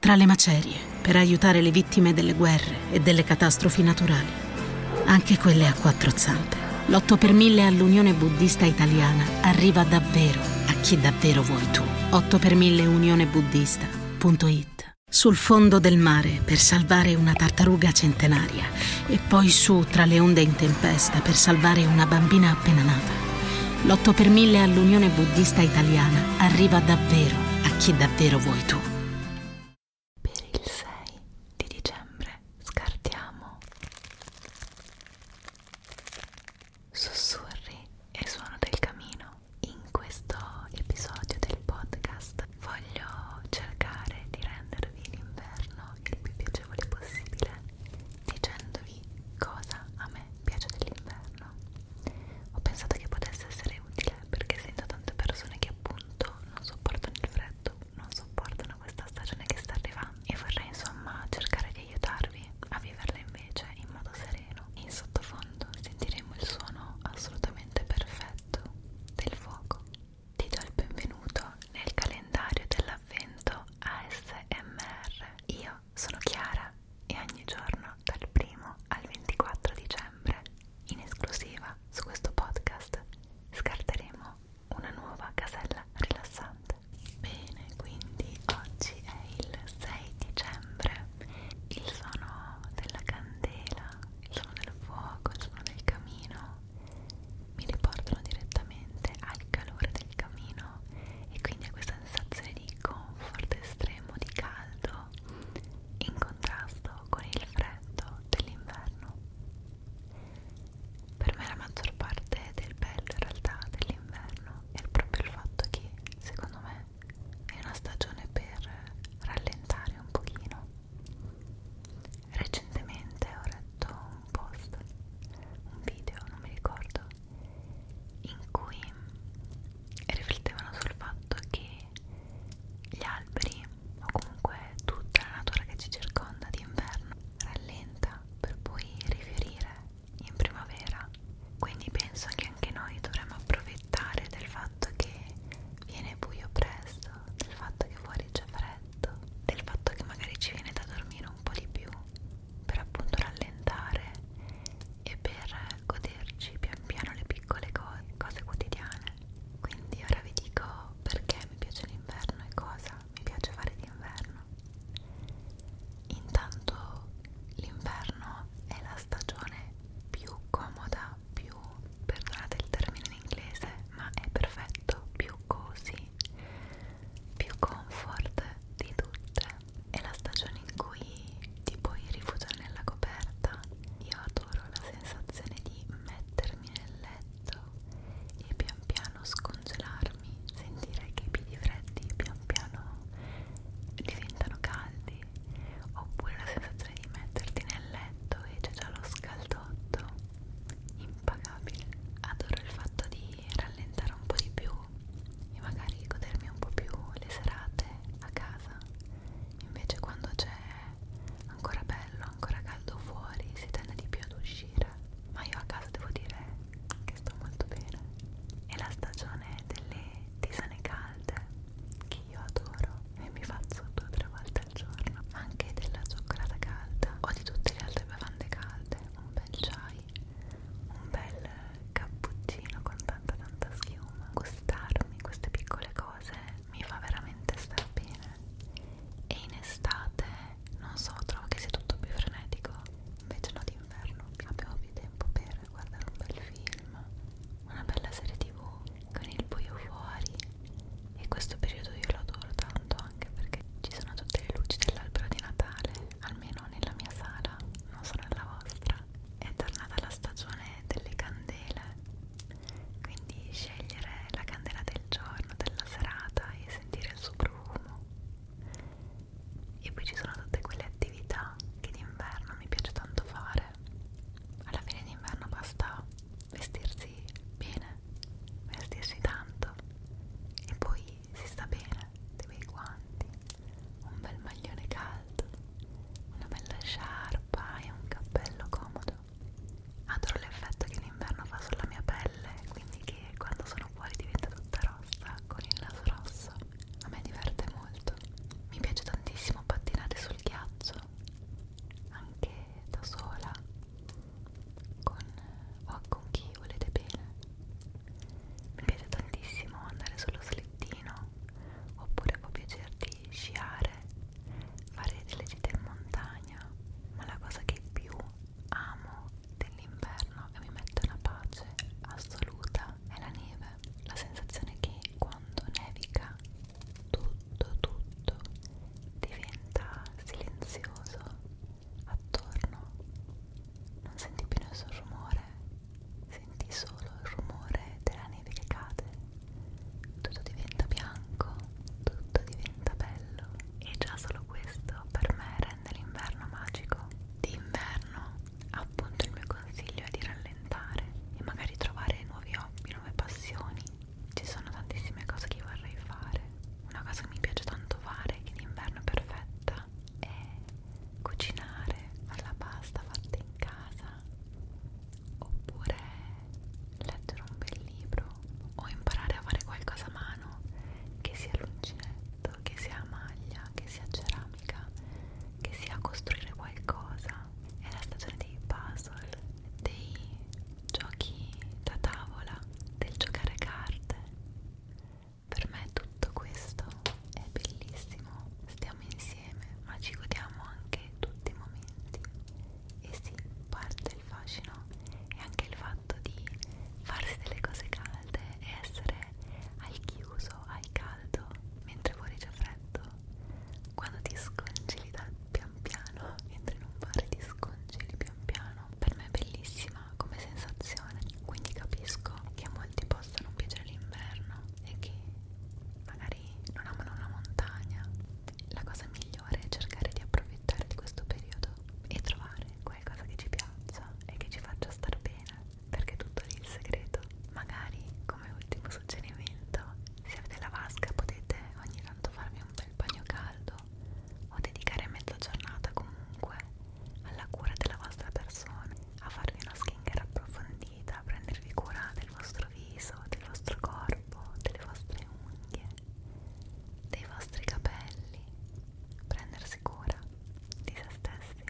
tra le macerie per aiutare le vittime delle guerre e delle catastrofi naturali, anche quelle a quattro zampe. L'8 per 1000 all'Unione Buddista Italiana arriva davvero a chi davvero vuoi tu. 8 per 1000 unionebuddista.it Sul fondo del mare per salvare una tartaruga centenaria e poi su tra le onde in tempesta per salvare una bambina appena nata. L'8 per 1000 all'Unione Buddista Italiana arriva davvero a chi davvero vuoi tu. Per il 6 di dicembre scartiamo sussurri e suono del camino. In questo episodio del podcast voglio cercare di rendervi l'inverno il più piacevole possibile dicendovi cosa a me piace dell'inverno. Ho pensato che potesse essere utile perché sento tante persone che appunto non sopportano il freddo, non sopportano questa stagione che sta arrivando e vorrei insomma cercare di aiutarvi a viverla invece in modo sereno. In sottofondo sentiremo il suono assolutamente perfetto del fuoco. Ti do il benvenuto nel calendario dell'avvento ASMR. Io sono Chiara e ogni giorno dal 1 al 24 dicembre, in esclusiva su questo podcast, scarteremo una nuova casella rilassante. Bene, quindi oggi è il 6 dicembre, il suono della candela, il suono del fuoco, il suono del camino mi riportano direttamente al calore del il camino e quindi ha questa sensazione di comfort estremo, di caldo in contrasto con il freddo dell'inverno. Per me la maggior parte del bello in realtà dell'inverno è proprio il fatto che secondo me è una stagione per rallentare un pochino. Recentemente ho letto un post, un video, non mi ricordo, in cui riflettevano sul fatto che gli alberi o comunque tutta la natura che ci circonda d'inverno rallenta per poi riferire in primavera. Quindi penso che anche noi dovremmo approfittare del fatto che viene buio presto, del fatto che fuori c'è freddo, del fatto che magari ci viene da dormire pochino un po' di più per appunto rallentare e per goderci pian piano le piccole cose, cose quotidiane quindi ora vi dico perché mi piace l'inverno e cosa mi piace fare d'inverno intanto l'inverno è la stagione più comoda più perdonate il termine in inglese ma è perfetto più così più comfort di tutte è la stagione in cui ti puoi rifugiare nella coperta io adoro la sensazione di mettermi nel letto e pian piano scongelarmi sentire che i piedi freddi pian piano diventano caldi oppure la sensazione di metterti nel letto e c'è già lo scaldotto impagabile adoro il fatto di rallentare un po' di più e magari godermi un po' più le serate a casa invece quando c'è ancora bello, ancora caldo fuori si tende di più ad uscire ma io a casa devo dire che sto molto bene è la stagione delle tisane calde che io adoro e mi faccio due o tre volte bel giorno, ma anche della cioccolata calda o di tutte le altre bevande calde, un bel chai, un bel cappuccino con tanta tanta schiuma. Gustarmi queste piccole cose mi fa veramente star bene. E in estate, non so, trovo che sia tutto più frenetico. Invece no d'inverno, abbiamo più tempo per guardare un bel film una bella serie tv con il buio fuori e questo periodo io lo adoro tanto anche perché ci sono tutte le luci dell'albero di Natale almeno nella mia sala non so nella vostra è tornata la stagione delle candele quindi scegliere la candela del giorno della serata e sentire il suo profumo e poi ci sono tutte quelle attività che d'inverno mi piace tanto fare d'estate alla fine d'inverno basta vestirsi bene vestirsi tanto e poi si sta bene dei bei guanti un bel maglione caldo una bella sciarpa e un cappello comodo adoro l'effetto che l'inverno fa sulla mia pelle quindi che quando sono fuori diventa tutta rossa con il naso rosso a me diverte molto. Mi piace tantissimo pattinare sul ghiaccio, anche da sola, con, o con chi volete bene. Mi piace tantissimo andare sullo slittino, oppure può piacerti sciare, fare delle gite in montagna, ma la cosa che più amo dell'inverno e mi mette una pace assoluta è la neve la sensazione che quando nevica tutto tutto diventa silenzioso attorno non senti più nessun rumore senti solo il rumore della neve che cade tutto diventa bianco tutto diventa bello e già solo questo per me rende l'inverno magico d'inverno appunto il mio consiglio è di rallentare e magari trovare nuovi hobby, nuove passioni. Ci sono tantissime cose che vorrei fare. Una cosa che mi piace tanto fare, che d'inverno è perfetta, è cucinare, fare la pasta fatta in casa, oppure leggere un bel libro o imparare a fare qualcosa a mano che sia l'uncinetto oggetto, che sia maglia, che sia ceramica, che sia costruire qualcosa. È la stagione dei puzzle, dei giochi da tavola, del giocare carte. Per me tutto questo è bellissimo. Stiamo insieme, ma ci godiamo anche tutti i momenti. E sì, parte il fascino e anche il fatto di farsi delle cose calde e essere al chiuso, al caldo, mentre fuori c'è freddo, quando ti scongeli da pian piano, mentre in un bar ti scongeli pian piano, per me è bellissima come sensazione, quindi capisco che a molti possa non piacere l'inverno e che magari non amano la montagna. La cosa migliore è cercare di approfittare di questo periodo e trovare qualcosa che ci piaccia e che ci faccia star bene bene perché tutto lì il segreto magari come ultimo suggerimento se avete la vasca potete ogni tanto farvi un bel bagno caldo o dedicare mezza giornata comunque alla cura della vostra persona a farvi una skincare approfondita a prendervi cura del vostro viso del vostro corpo delle vostre unghie dei vostri capelli prendersi cura di se stessi.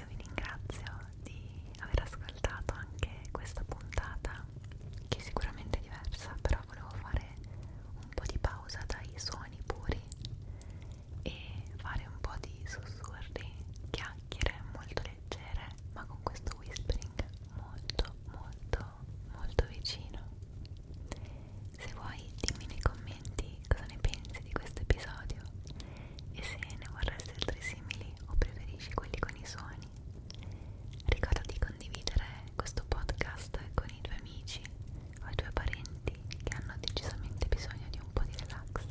Io vi ringrazio di aver ascoltato anche questa puntata, che è sicuramente diversa, però volevo fare un po' di pausa dai suoni puri e fare un po' di sussurri, chiacchiere molto leggere, ma con questo whispering molto molto molto molto vicino se vuoi dimmi nei commenti cosa ne pensi di questo episodio e se ne vorresti altri simili o preferisci quelli con i suoni ricorda di condividere questo podcast con i tuoi amici o i tuoi parenti che hanno decisamente bisogno di un po' di relax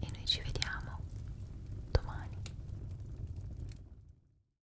e noi ci vediamo domani